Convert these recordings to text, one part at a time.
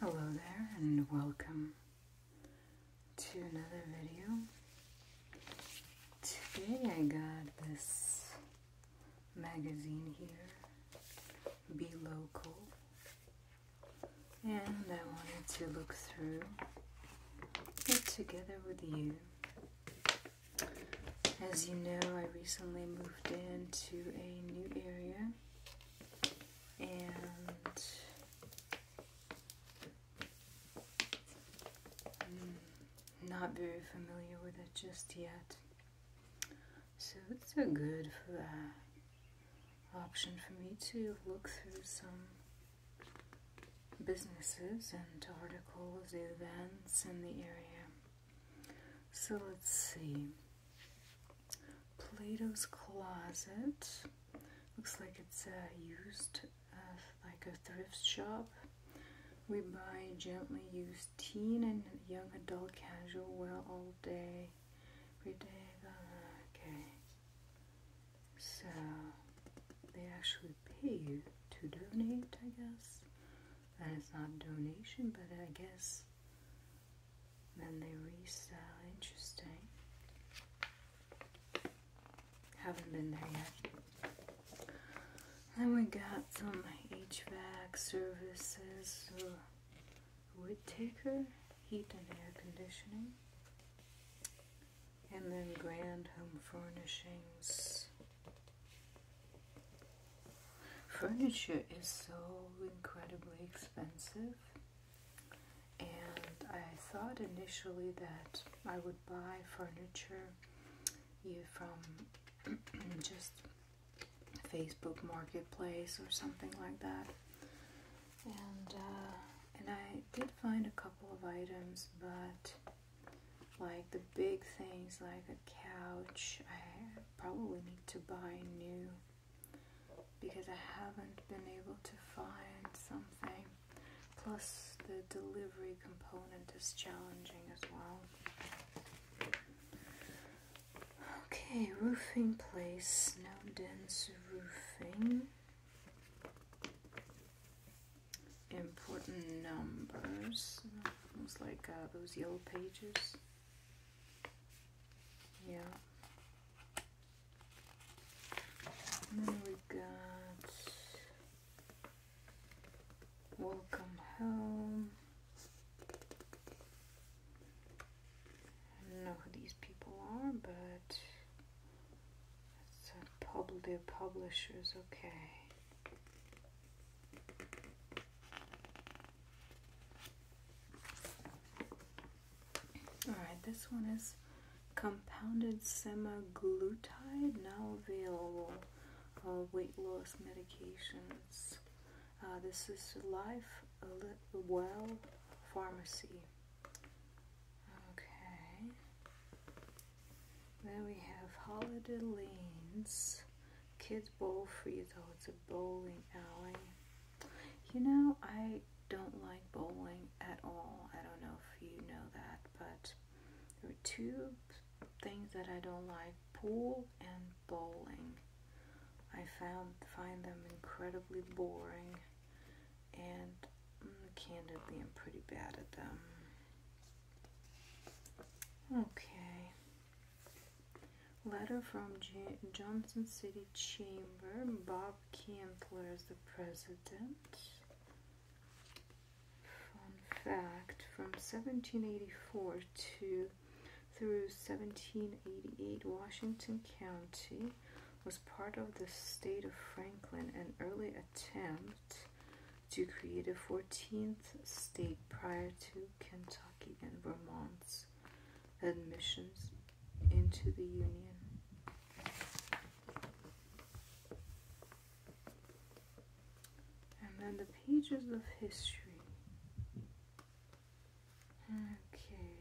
Hello there and welcome to another video. Today I got this magazine here, Be Local, and I wanted to look through it together with you as you know, I recently moved into a new area and I'm mm, not very familiar with it just yet. So it's a good uh, option for me to look through some businesses and articles, events in the area. So let's see. Plato's Closet. Looks like it's uh, used uh, like a thrift shop. We buy gently used teen and young adult casual wear all day. Every day. Uh, okay. So they actually pay you to donate, I guess and it's not donation, but I guess then they resell. Interesting. Haven't been there yet. Then we got some HVAC services, uh, wood taker, heat and air conditioning, and then grand home furnishings. Furniture is so incredibly expensive, and I thought initially that I would buy furniture you from just Facebook Marketplace or something like that, and uh, and I did find a couple of items, but like the big things like a couch I probably need to buy new because I haven't been able to find something plus the delivery component is challenging as well okay roofing place Snowden's roofing important numbers, almost like uh, those yellow pages. Yeah. then we got Welcome Home. I don't know who these people are, but it's a uh, public they publishers, okay. Alright, this one is compounded semaglutide, now available. Uh, weight loss medications. Uh, this is Life Well Pharmacy. Okay. Then we have Holiday Lanes, Kids Bowl Free though, it's a bowling alley. You know, I don't like bowling at all. I don't know if you know that, but there are two things that I don't like, pool and bowling. I found find them incredibly boring and mm, candidly I'm pretty bad at them. Okay. Letter from Johnson City Chamber. Bob Kintler is the president. Fun fact from 1784 to through 1788, Washington County was part of the state of Franklin. An early attempt to create a 14th state prior to Kentucky and Vermont's admissions into the Union. And then the pages of history. Okay.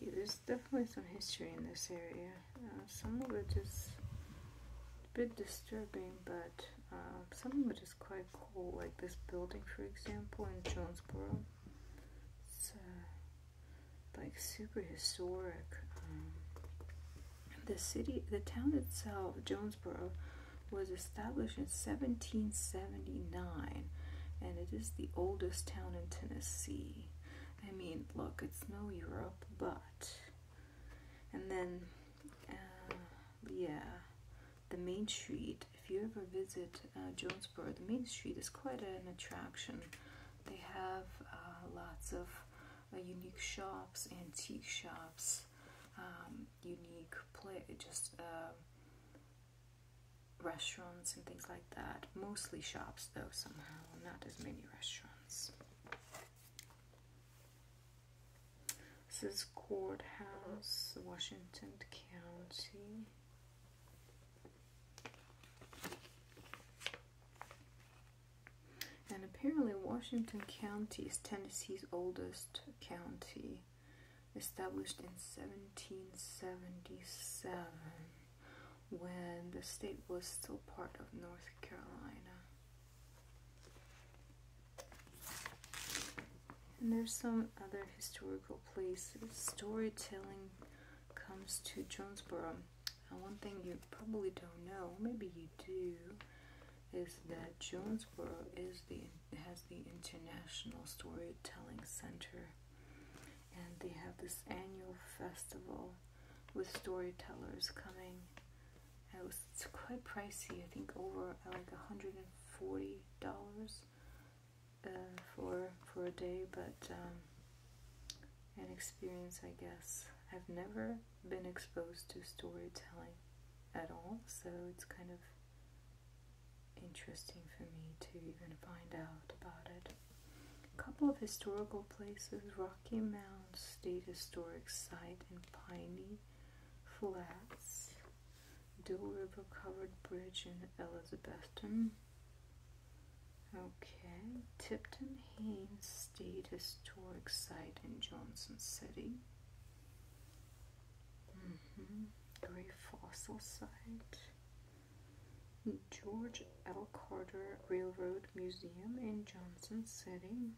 See, there's definitely some history in this area. Uh, some of it is bit disturbing, but um, something which is quite cool, like this building, for example, in Jonesboro. It's uh, like super historic. Um, the city, the town itself, Jonesboro, was established in 1779, and it is the oldest town in Tennessee. I mean, look, it's no Europe, but and then uh, yeah the main street if you ever visit uh, Jonesboro the main street is quite an attraction they have uh, lots of unique shops antique shops um, unique play just restaurants and things like that mostly shops though somehow not as many restaurants this is Courthouse, Washington County. And apparently, Washington County is Tennessee's oldest county, established in 1777 when the state was still part of North Carolina. And there's some other historical places. Storytelling comes to Jonesboro. And one thing you probably don't know, maybe you do, is that Jonesboro is the has the International Storytelling Center, and they have this annual festival with storytellers coming. It was quite pricey. I think over like hundred and forty dollars uh, for for a day, but um, an experience, I guess. I've never been exposed to storytelling at all, so it's kind of interesting for me to even find out about it. A couple of historical places Rocky Mounds State Historic Site and Piney Flats, Dill River Covered Bridge in Elizabethton. Okay, Tipton Haines State Historic Site in Johnson City. Mm-hmm. Great fossil site. George L. Carter Railroad Museum in Johnson City,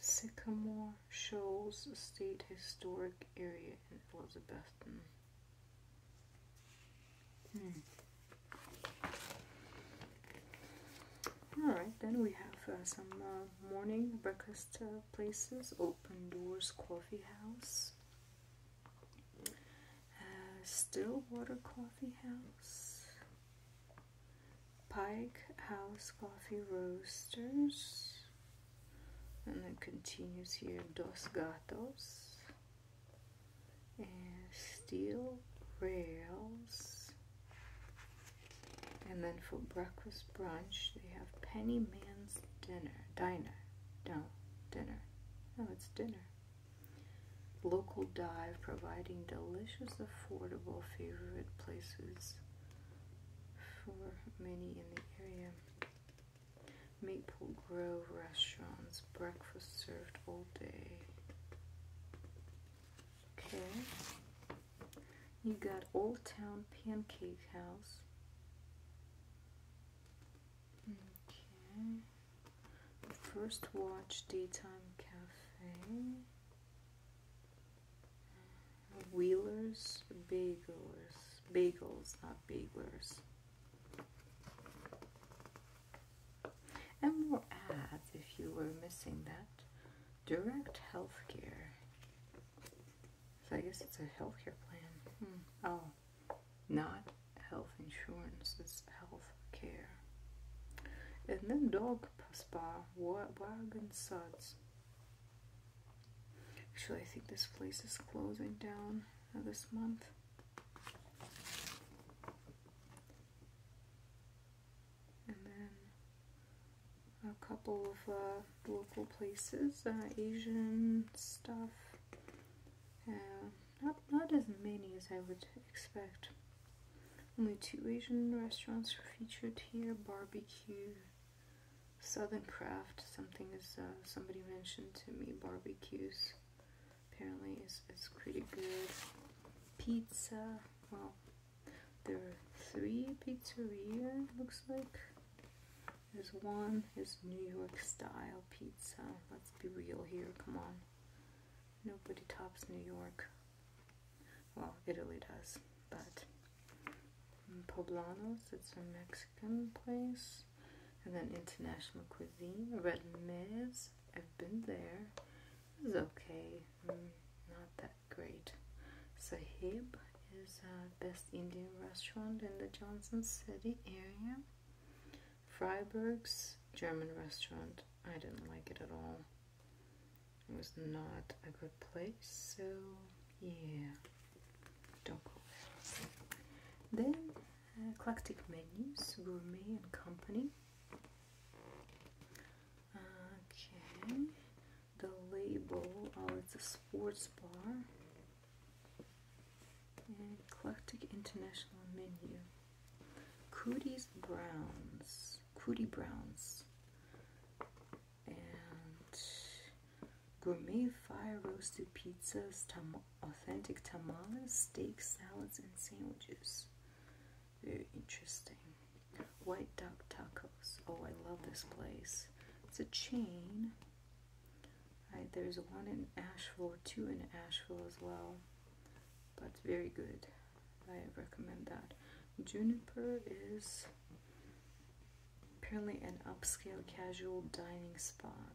Sycamore Shoals State Historic Area in Elizabethton. Hmm. Alright, then we have uh, some uh, morning breakfast uh, places Open Doors Coffee House, uh, Stillwater Coffee House, Pike House Coffee Roasters, and then continues here Dos Gatos Steel Rails. And then for breakfast brunch, they have Penny Man's Dinner. Diner. No, dinner. No, it's dinner. Local dive providing delicious, affordable, favorite places for many in the area. Maple Grove restaurants, breakfast served all day. Okay. You got Old Town Pancake House. Okay. First watch Daytime Cafe. Wheelers, Bagelers. Bagels, not Baglers. And more ads if you were missing that. Direct healthcare. So I guess it's a healthcare plan. Hmm. Oh, not health insurance, it's health care. And then dog spa, wagon suds. Actually, I think this place is closing down this month. And then a couple of uh, local places, uh, Asian stuff, not, not as many as I would expect. Only two Asian restaurants are featured here, barbecue, southern craft, something is, uh, somebody mentioned to me, barbecues, apparently it's is pretty good. Pizza, well, there are three pizzeria, looks like. There's one is New York style pizza. Let's be real here, come on. Nobody tops New York. Well, Italy does, but Poblanos, it's a Mexican place. And then International Cuisine, Red Mez, I've been there. It okay, mm, not that great. Sahib is uh, best Indian restaurant in the Johnson City area. Freiburg's German restaurant. I didn't like it at all. It was not a good place, so yeah, don't go there. Then, uh, classic Menus, Gourmet and Company. Okay, the label, oh, it's a sports bar. Eclectic mm, International Menu. Cooties Browns. Cootie Browns. And Gourmet Fire Roasted Pizzas, Authentic Tamales, Steak, Salads, and Sandwiches. Very interesting. White Duck Tacos. Oh, I love this place. It's a chain there's one in Asheville, two in Asheville as well, but very good. I recommend that. Juniper is apparently an upscale casual dining spot.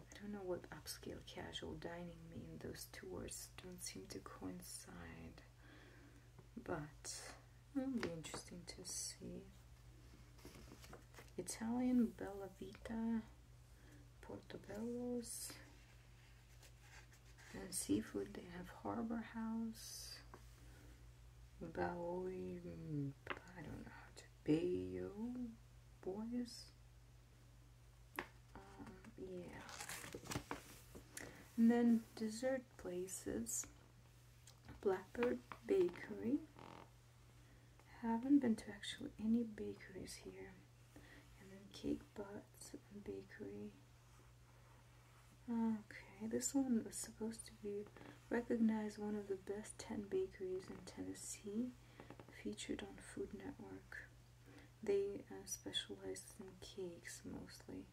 I don't know what upscale casual dining mean. Those two words don't seem to coincide, but it'll be interesting to see. Italian Bellavita, Portobello's, and seafood. They have Harbor House, Bowie, mm, I don't know how to, Bayo Boys. Um, yeah. And then dessert places, Blackbird Bakery, haven't been to actually any bakeries here and then cake butts and bakery okay this one was supposed to be recognized one of the best 10 bakeries in Tennessee featured on Food Network they uh, specialize in cakes mostly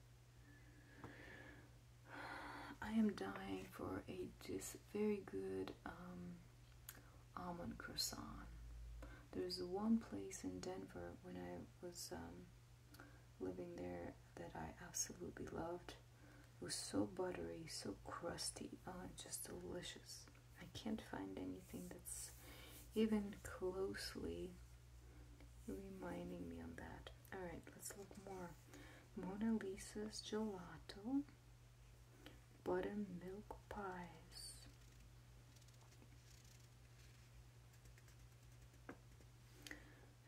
I am dying for a just very good um, almond croissant. There's one place in Denver when I was um, living there that I absolutely loved. It was so buttery, so crusty, oh, just delicious. I can't find anything that's even closely reminding me on that. Alright, let's look more. Mona Lisa's Gelato, um Buttermilk Pies.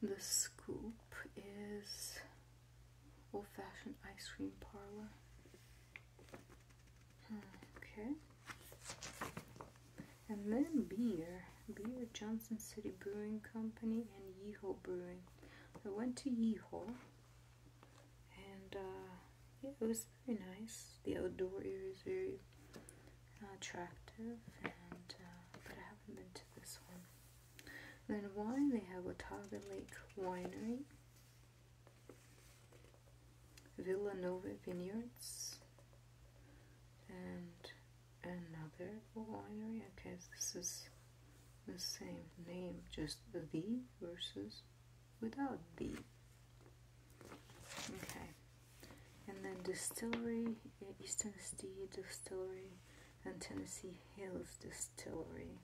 The Scoop is Old Fashioned Ice Cream Parlor. Okay. And then beer. Beer Johnson City Brewing Company and Yeehaw Brewing. I went to Yeehaw and uh, yeah, it was very nice. The outdoor area is very uh, attractive, and uh, but I haven't been to this one. then wine, they have Otago Lake Winery, Villanova Vineyards, and another winery. Okay, this is the same name, just the versus without the. Okay, and then distillery, Eastern Tennessee Distillery, and Tennessee Hills Distillery.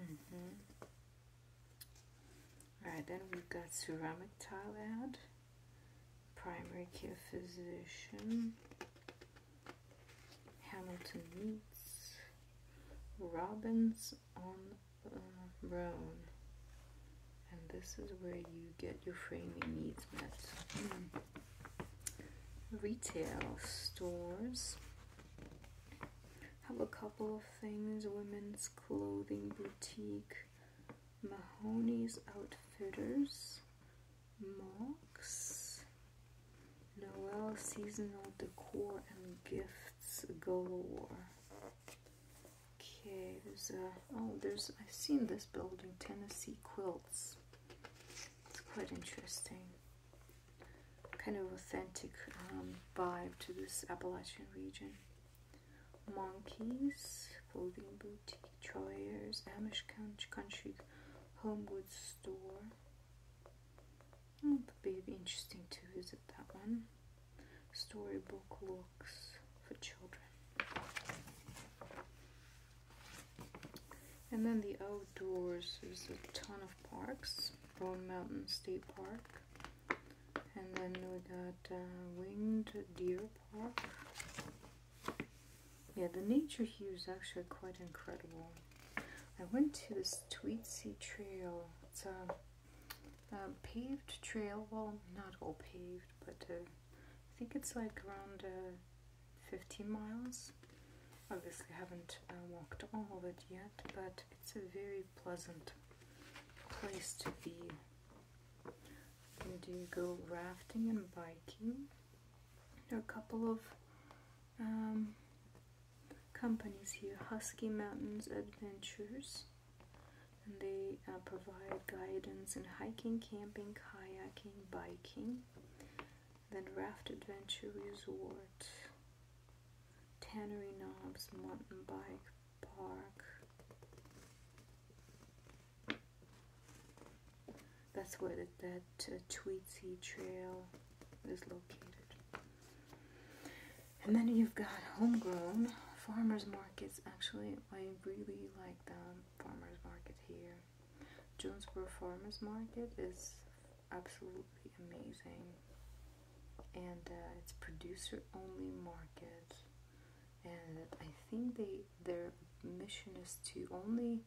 Mm -hmm. Alright, then we've got ceramic tile ad primary care physician, Hamilton meets Robbins on uh, Roan. And this is where you get your framing needs met. Hmm. Retail stores have a couple of things women's clothing boutique, Mahoney's Outfitters Marks, Noel seasonal decor and gifts galore. Okay, there's a oh, there's I've seen this building, Tennessee Quilts. It's quite interesting. Kind of authentic um, vibe to this Appalachian region. Monkeys, Clothing Boutique, Troyer's, Amish Country Home Goods Store. It would be interesting to visit that one. Storybook books for Children. And then the outdoors is a ton of parks. Roan Mountain State Park. And then we got uh, Winged Deer Park. Yeah, the nature here is actually quite incredible. I went to this Tweetsie Trail. It's a, paved trail. Well, not all paved, but uh, I think it's like around uh, 15 miles. Obviously, I haven't uh, walked all of it yet, but it's a very pleasant place to be and do go rafting and biking? There are a couple of um, companies here, Husky Mountains Adventures, and they uh, provide guidance in hiking, camping, kayaking, biking, then Raft Adventure Resort, Tannery Knobs Mountain Bike Park. That's where the that Tweety Trail is located. And then you've got homegrown farmers markets. Actually, I really like the farmers market here. Jonesboro Farmers Market is absolutely amazing. And uh, it's producer only market and I think they their mission is to only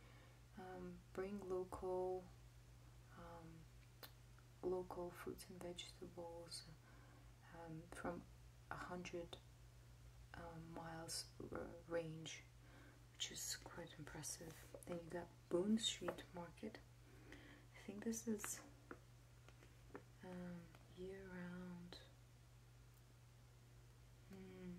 um, bring local um, local fruits and vegetables um, from a hundred miles range, which is quite impressive. Then you got Boone Street Market. I think this is year-round Hmm.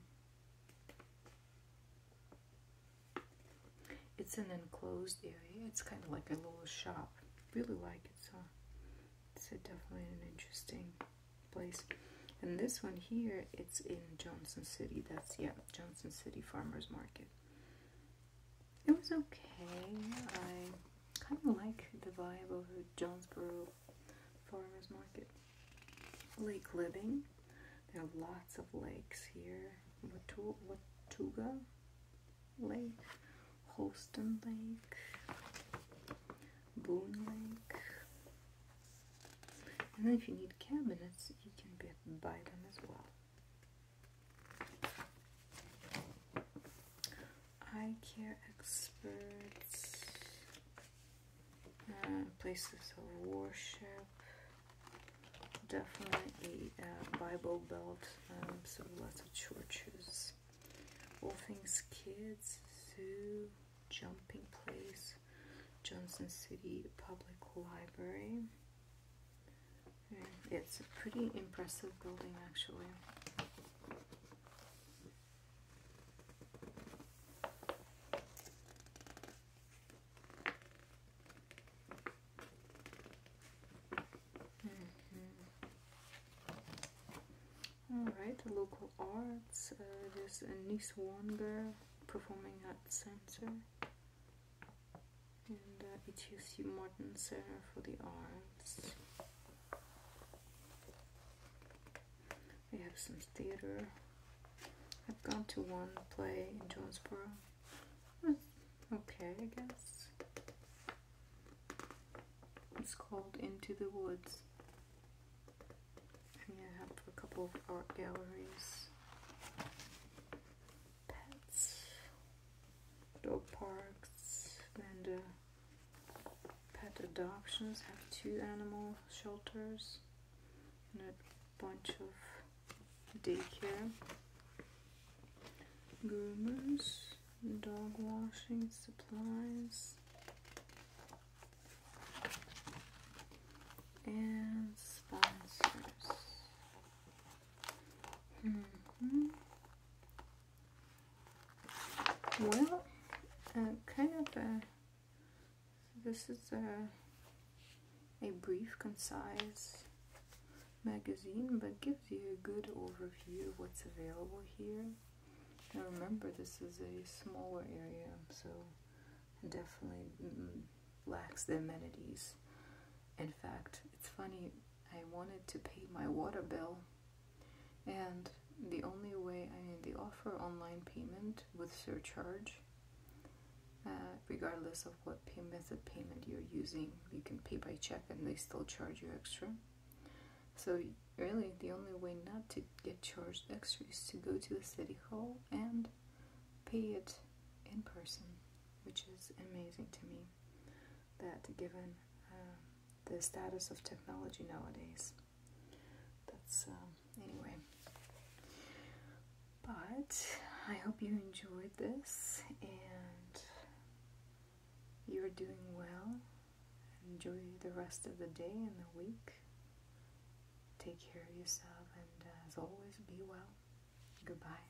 it's an enclosed area it's kind of like a little shop really like it so it's definitely an interesting place and this one here it's in Johnson City that's yeah Johnson City Farmers Market it was okay kind of like the vibe of Jonesboro farmers market. Lake living. There are lots of lakes here. Watu Watuga Lake, Holston Lake, Boone Lake. And then if you need cabinets, you can get, buy them as well eye care experts, uh, places of worship, definitely a uh, Bible Belt, um, so lots of churches, all kids, zoo, jumping place, Johnson City Public Library. it's a pretty impressive building actually. Mm -hmm. Alright, local arts. Uh, there's a Nice One performing at Center. And uh, it's UC Martin Center for the Arts. We have some theater. I've gone to one play in Jonesboro. Hmm, okay, I guess. It's called Into the Woods. And I have a couple of art galleries. Pets. Dog parks. And Pet adoptions have two animal shelters and a bunch of daycare. Groomers, dog washing supplies, and sponsors. -hmm. Well, uh, kind of a, uh, this is a, uh, a brief, concise magazine, but gives you a good overview of what's available here. Now remember, this is a smaller area, so definitely mm, lacks the amenities. In fact, it's funny, I wanted to pay my water bill, and the only way I mean, they offer online payment with surcharge. Uh, regardless of what payment method payment you're using, you can pay by check and they still charge you extra. So really, the only way not to get charged extra is to go to the city hall and pay it in person, which is amazing to me that given um, the status of technology nowadays. That's um, anyway. But I hope you enjoyed this and you're doing well. Enjoy the rest of the day and the week. Take care of yourself and, uh, as always, be well. Goodbye.